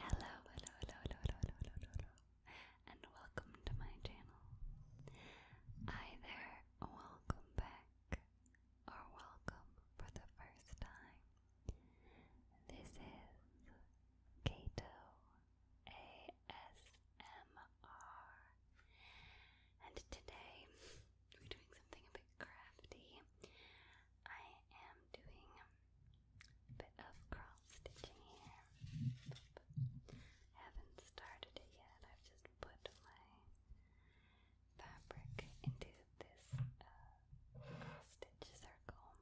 Hello, hello, hello, hello, hello, hello, hello, and welcome to my channel. Hi there, welcome back, or welcome for the first time. This is Kato ASMR, and today we're doing something a bit crafty. I am doing bit of cross stitching here. I haven't started it yet, I've just put my fabric into this uh, cross stitch circle.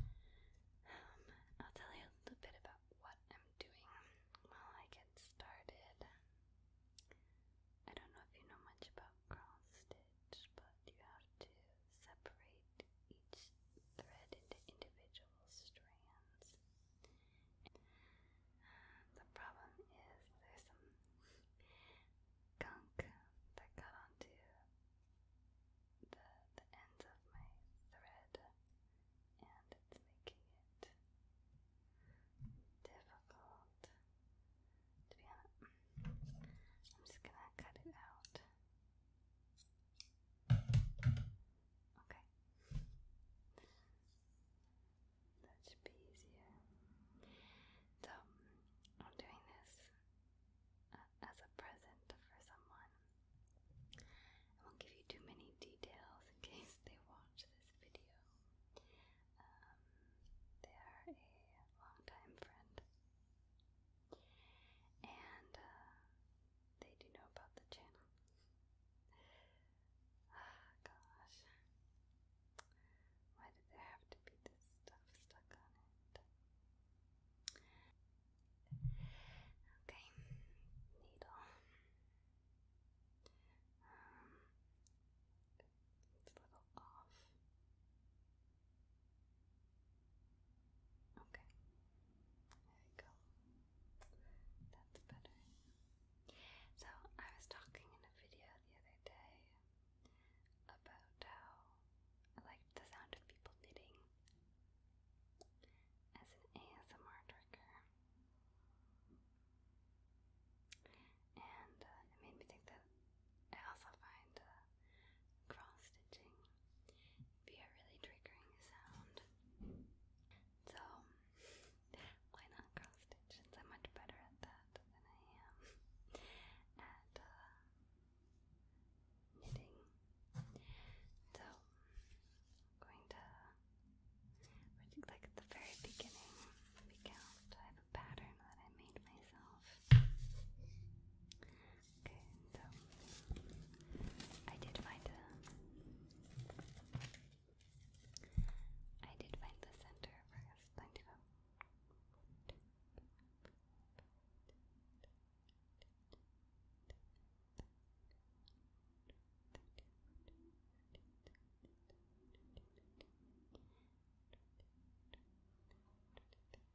Um, I'll tell you a little bit about what I'm doing while I get started. I don't know if you know much about cross stitch but you have to separate each thread into individual strands. The problem is there's some gunk that got onto the, the ends of my thread, and it's making it difficult to be honest. I'm just gonna cut it out. Okay. That should be easier. So, I'm doing this uh, as a present for someone. I won't give you too many details in case they watch this video. Um, they are a longtime friend and uh, they do know about the channel. Ah, gosh. Why did there have to be this stuff stuck on it? Okay, needle. Um, it's a little off. Okay. There we go. That's better. So, I was talking in a video the other day about how I liked the sound of people knitting as an ASMR trigger. And uh, it made me think that I also find uh, cross stitching be a really triggering sound. So why not cross stitch? I'm much better at that than I am at uh, knitting. So going to like at the very beginning we have a pattern that I made myself. Okay, so I did find a I did find the center for his plenty of Okay,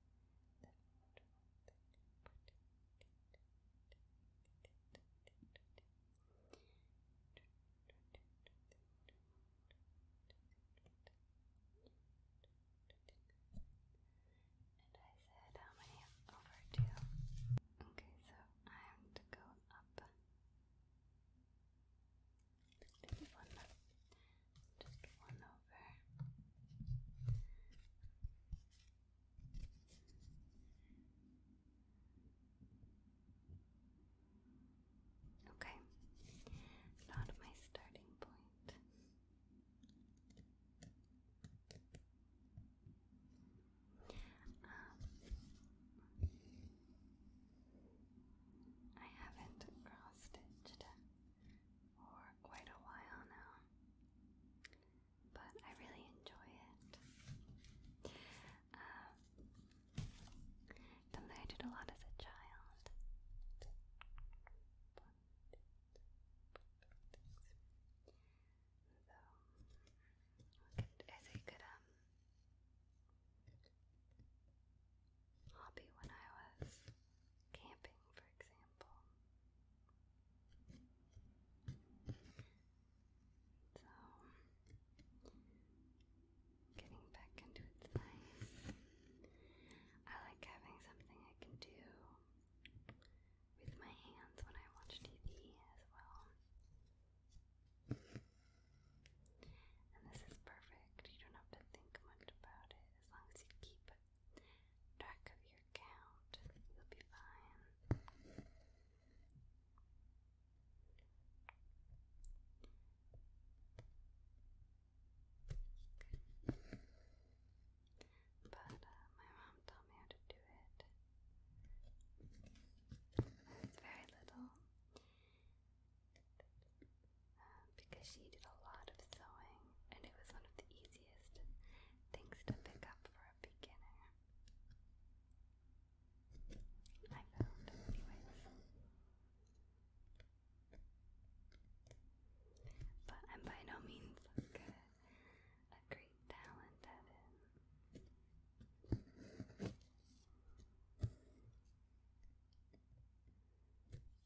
And I said how many over two? Okay, so I am to go up just one, just one over. Okay, not my starting point. Um, I haven't cross stitched for quite a while now. But I really enjoy it. Um, something I did a lot as a child. So, is it good? Um, hobby when I was camping, for example. So, getting back into it's nice. I like having something I can do with my hands when I watch TV as well. And this is perfect. You don't have to think much about it as long as you keep track of your count, you'll be fine. But uh, my mom taught me how to do it. It's very little because she did a lot of sewing and it was one of the easiest things to pick up for a beginner. I found, anyways. But I'm by no means a great talent at it.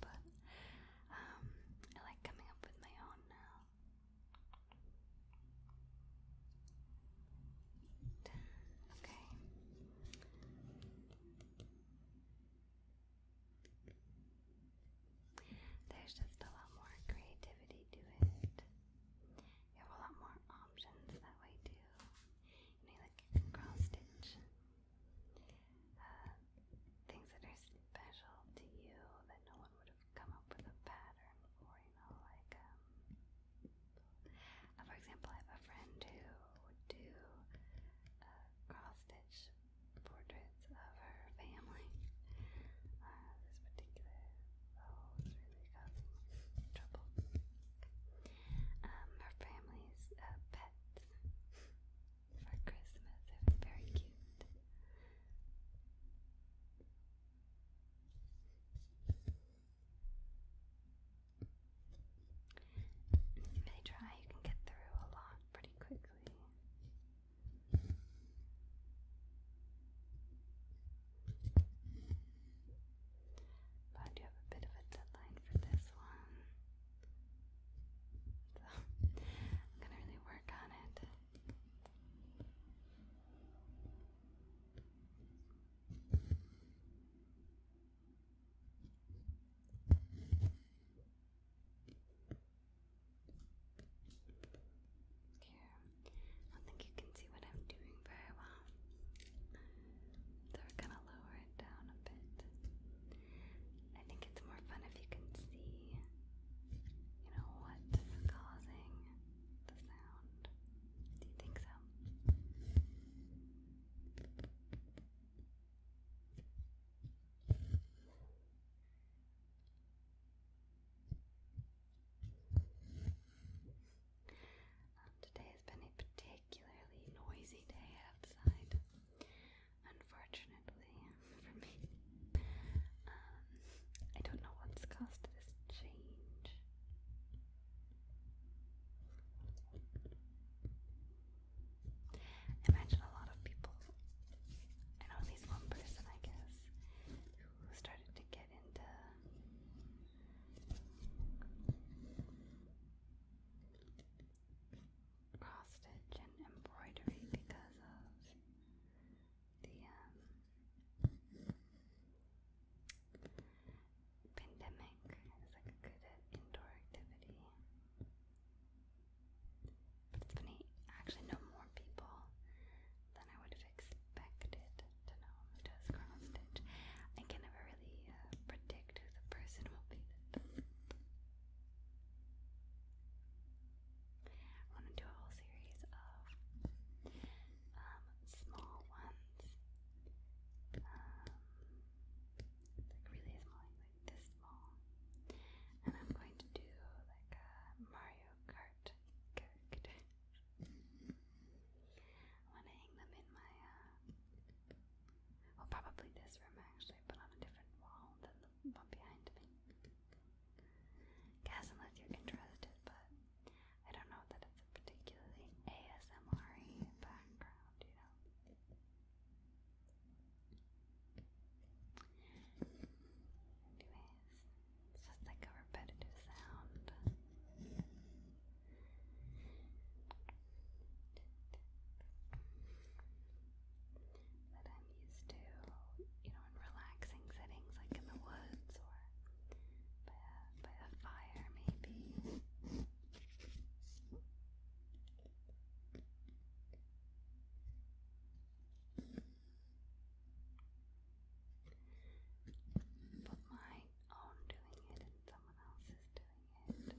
But um, I like coming up with my own now. Okay. There's just a lot more creativity to it. You have a lot more options that way too. You like cross stitch uh, things that are special to you that no one would have come up with a pattern for, you know, like, um, uh, for example, I have a friend who would do uh, cross stitch portraits of her family. Uh, this particular oh, was really causing trouble. Um, her family's uh, pets for Christmas. It was very cute. If they try, you can get through a lot pretty quickly. But I have a bit of a deadline for this one. So, I'm gonna really work on it. I don't think you can see what I'm doing very well. So we're gonna lower it down a bit. I think it's more fun if you can see, you know, what's causing the sound. Do you think so? Um, today has been a particularly noisy day outside. Unfortunately for me, um, I don't know what's caused this change. imagine a lot of people, I at least one person, I guess, who started to get into cross stitch and embroidery because of the um, pandemic. It's like a good indoor activity. But actually know more people than I would have expected to know who does cross stitch. I can never really uh, predict predict who I want to do a whole series of um, small ones. Um, like really small, like this small. And I'm going to do like a Mario Kart character. I want to hang them in my uh, well, probably this room actually, but on a different wall than the one behind me. Guess unless you're interested, but I don't know that it's a particularly ASMR background, you know. Anyways, it's just like a repetitive sound that I'm used to, you know, relaxing settings like in the woods or by a, fire, maybe. But my own doing it and someone else's doing it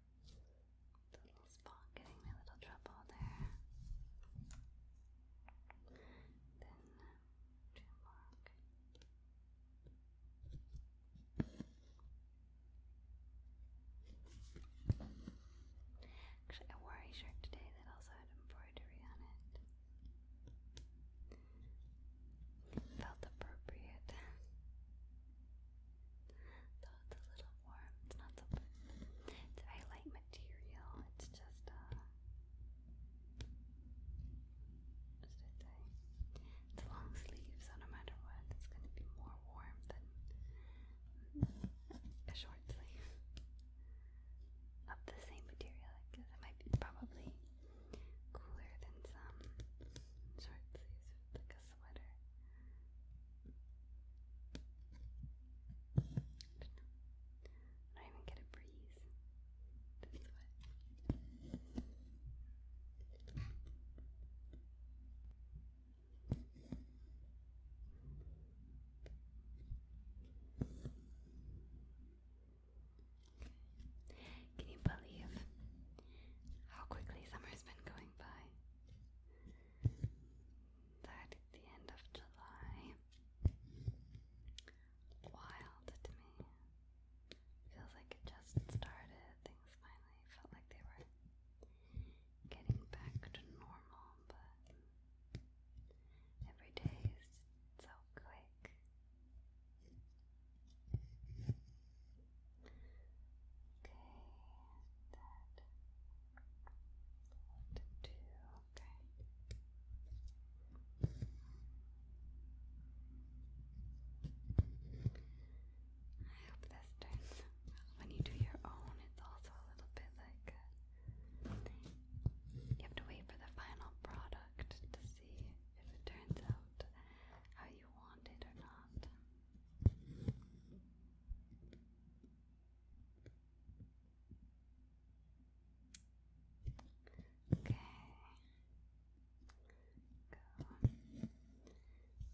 little spot getting me little trouble there. Then uh, Actually, I wore a shirt today that also had embroidery on it. Felt appropriate. The, the little warm, it's not so good. It's material, it's just uh what should I say? It's long sleeve, so no matter what, it's gonna be more warm than a short sleeve of the same material. I it might be probably cooler than some short sleeves, like sweater. I even get a breeze. Can you believe how quickly summer's been going by? That the end of July. Wild to me. Feels like it just started. Things finally felt like they were getting back to normal, but every day is so quick that what to okay. I hope this turns when you do your own it's also a little bit like uh, you have to wait for the final product to see if it turns out how you want it or not. Okay.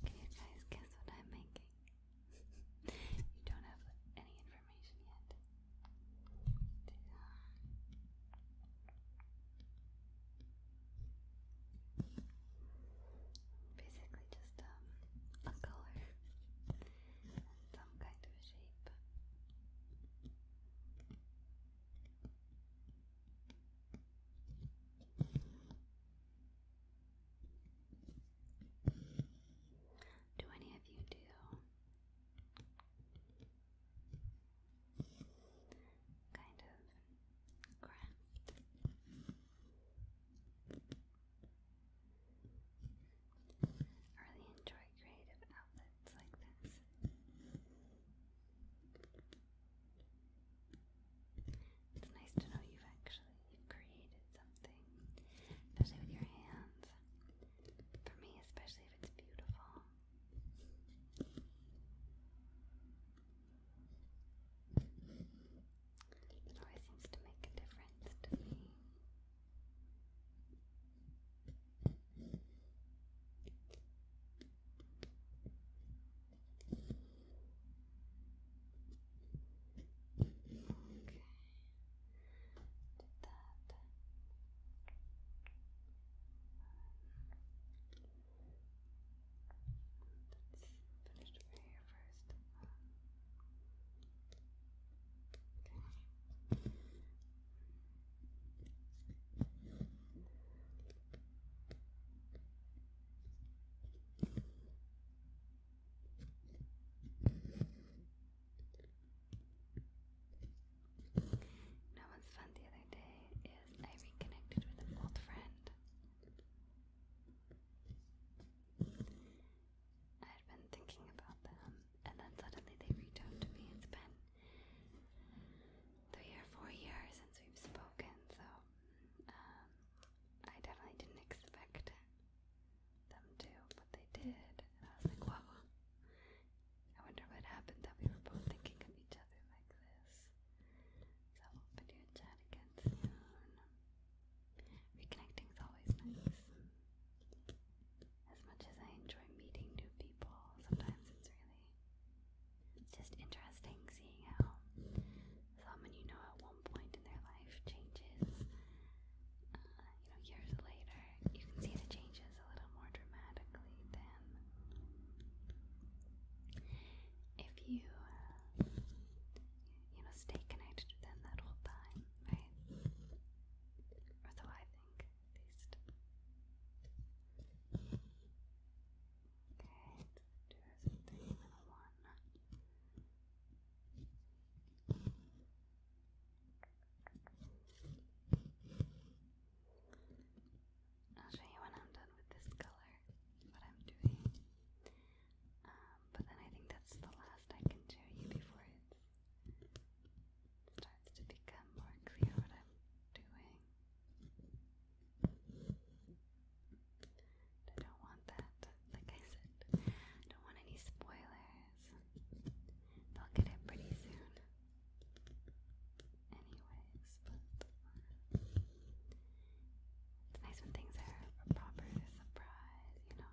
Can you guys guess what I'm making? you don't have any information yet. Basically, just um, a color and some kind of shape. Do any of you do kind of I really enjoy creative outlets like this. It's nice to know you've actually you've created something, especially with your hands. For me, especially if it's beautiful. It always seems to make a difference to me. Okay. Did that. Let's over here first. Okay. Now, what's fun the other day is I reconnected with an old friend. I had been thinking about them, and then suddenly they reached out to me. It's been three or four years since we've spoken, so um, I definitely didn't expect them to, but they did. And I was like, whoa, I wonder what happened that we were both thinking of each other like this. So video always nice. As much as I enjoy meeting new people, sometimes it's really just interesting seeing how someone you know at one point in their life changes. Uh, you know, years later, you can see the changes a little more dramatically than if you you know stay connected to them that whole time, right? Or so I think, at least. Okay, do I'll show you when I'm done with this color what I'm doing. Um, but then I think that's the last I can show you before it starts to become more clear what I'm doing. I don't want that, like I said, I don't want any spoilers. They'll get it pretty soon anyways, but it's nice when things are a proper surprise, you know.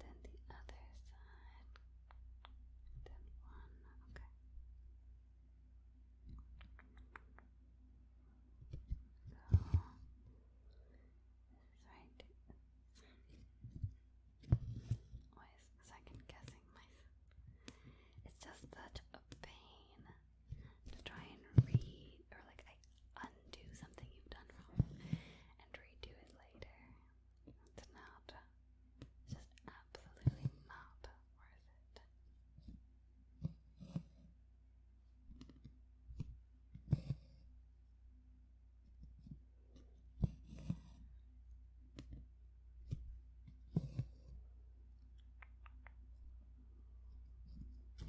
Then the other side. Then one. Okay right. Always second guessing myself. It's just such a pain to try and read or like undo something you've done wrong and redo it later. It's not just absolutely not worth it. There we go. So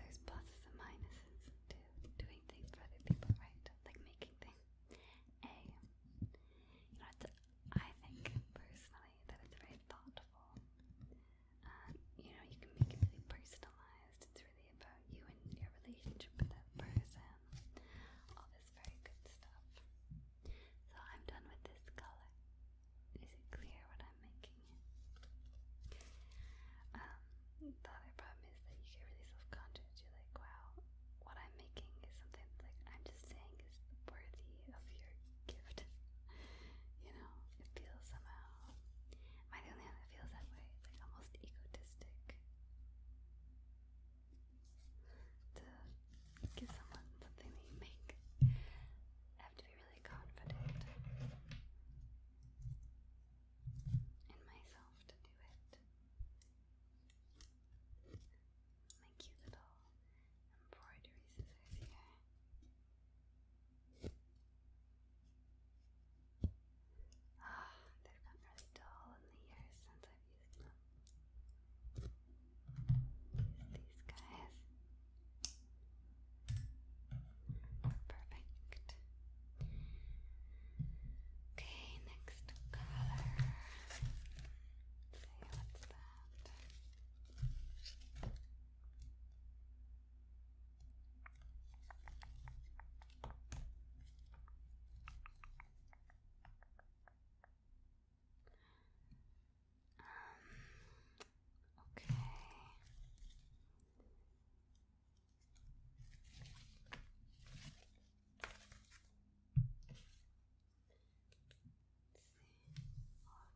there's pluses and minuses to doing things for other people, right? Like making things. A. You know, I think personally that it's very thoughtful. Um, you know, you can make it really personalized. It's really about you and your relationship with that person. All this very good stuff. So I'm done with this color. Is it clear what I'm making? Um, the other problem is that you get really self-conscious. You're like, wow, what I'm making is something like I'm just saying is worthy of your gift. you know, it feels somehow. Am I the only one that feels that way? It's like almost egotistic to give someone something that you make. I have to be really confident in myself to do it. My cute little embroidery scissors here. Ah, they've gotten really dull in the years since I've used them. these guys. Perfect. Okay, next color. let what's that. Um, okay. Let's see all of colors here. There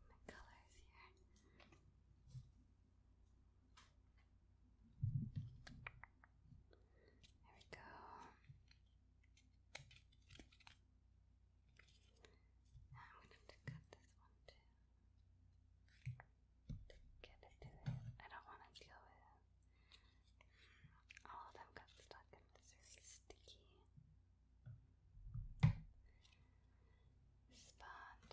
we go. I'm going to cut this one too. I don't want to deal with it. All of them got stuck in this sticky spot.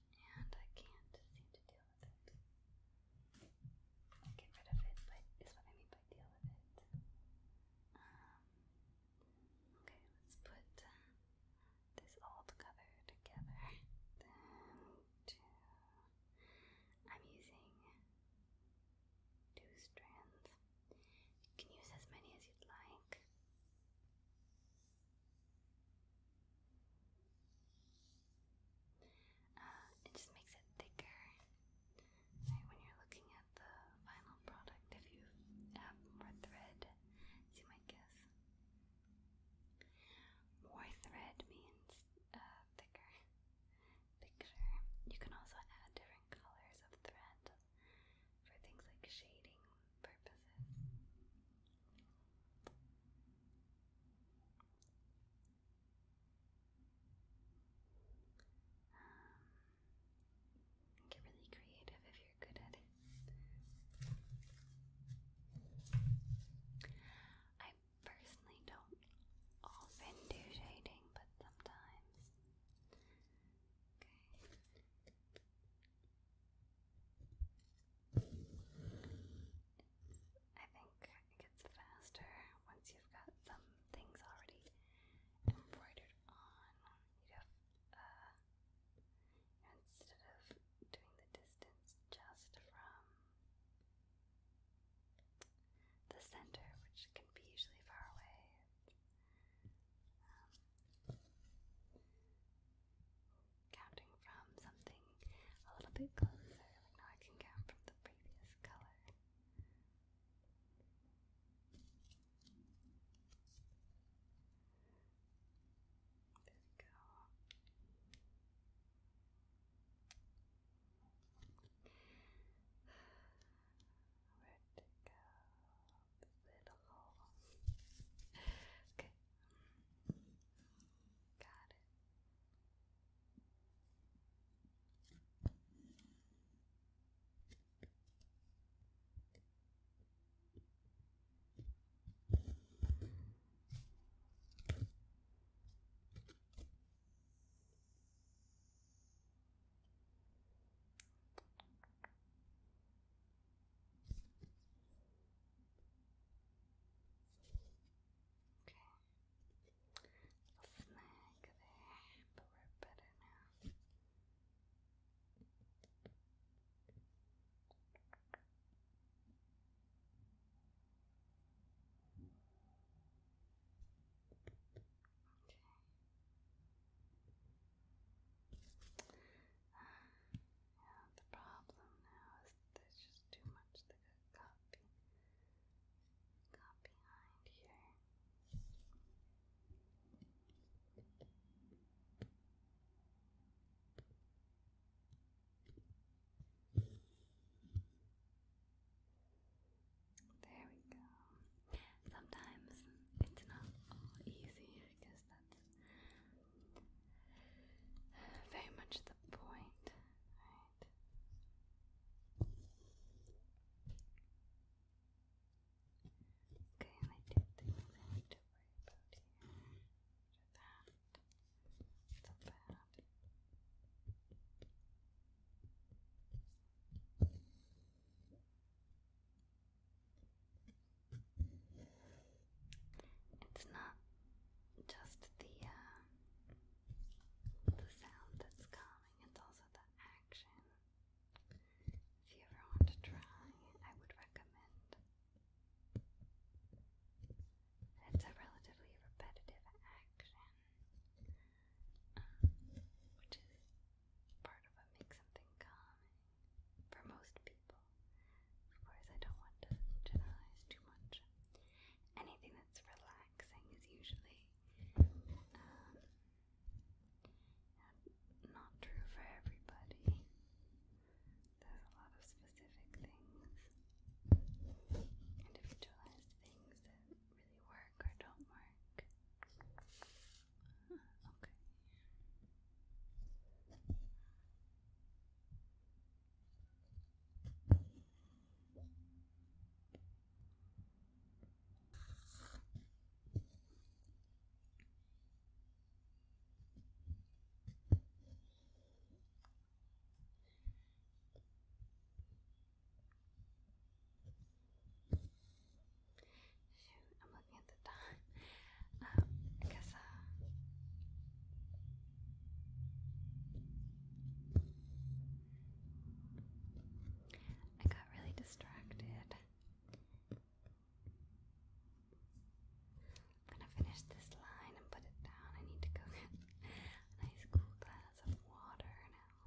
And I can't seem to deal with it. get rid of it, but is what I mean by deal with it. Um, okay, let's put this old cover together. I'm using two strands. You can use as many as you'd like. Uh, it just makes it thicker right, when you're looking at the final product. If you have more thread, you might guess, more thread means uh, thicker, thicker. You can also add different colors of thread for things like shading purposes. Um, get really creative if you're good at it. I personally don't often do shading, but sometimes. Okay. I think it gets faster once you've got some things already embroidered on instead of doing the distance just from the center, which can be usually far away. Um, counting from something a little bit closer, now I can count from the previous color. There we go. Where'd it go? little hole. okay. Got it. Okay. Snag there, but we're better now. Okay. Yeah, the problem now is there's just too much that got got behind here. There we go. Sometimes it's not all easy because that's very much the point, right? Okay, and I did things so It's not just the uh, the sound that's calming; it's also the action. If you ever want to try, I would recommend it's a relatively repetitive action, um, which is part of what makes something for most people. Of course, I don't want to generalize too much. Anything that's relaxing is usually um, not true for everybody. There's a lot of specific things, individualized things that really work or don't work. okay. Shoot, I'm looking at the time. I guess, I got really distracted. I'm gonna finish this line and put it down. I need to go get a nice cool glass of water now.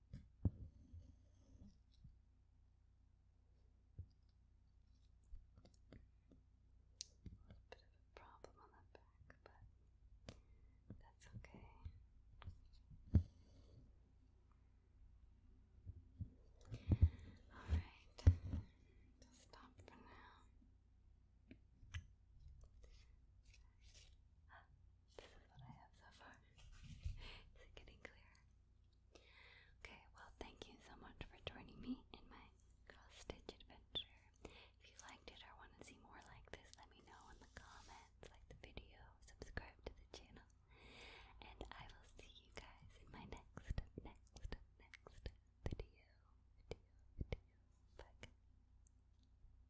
There's a bit of a problem on the back, but that's okay. Alright, just stop for now. This is what I have so far. is it getting clearer? Okay, well, thank you so much for joining me in my cross-stitch adventure. If you liked it or want to see more like this, let me know in the comments, like the video, subscribe to the channel, and I will see you guys in my next, next, next video. Video, video. Bye.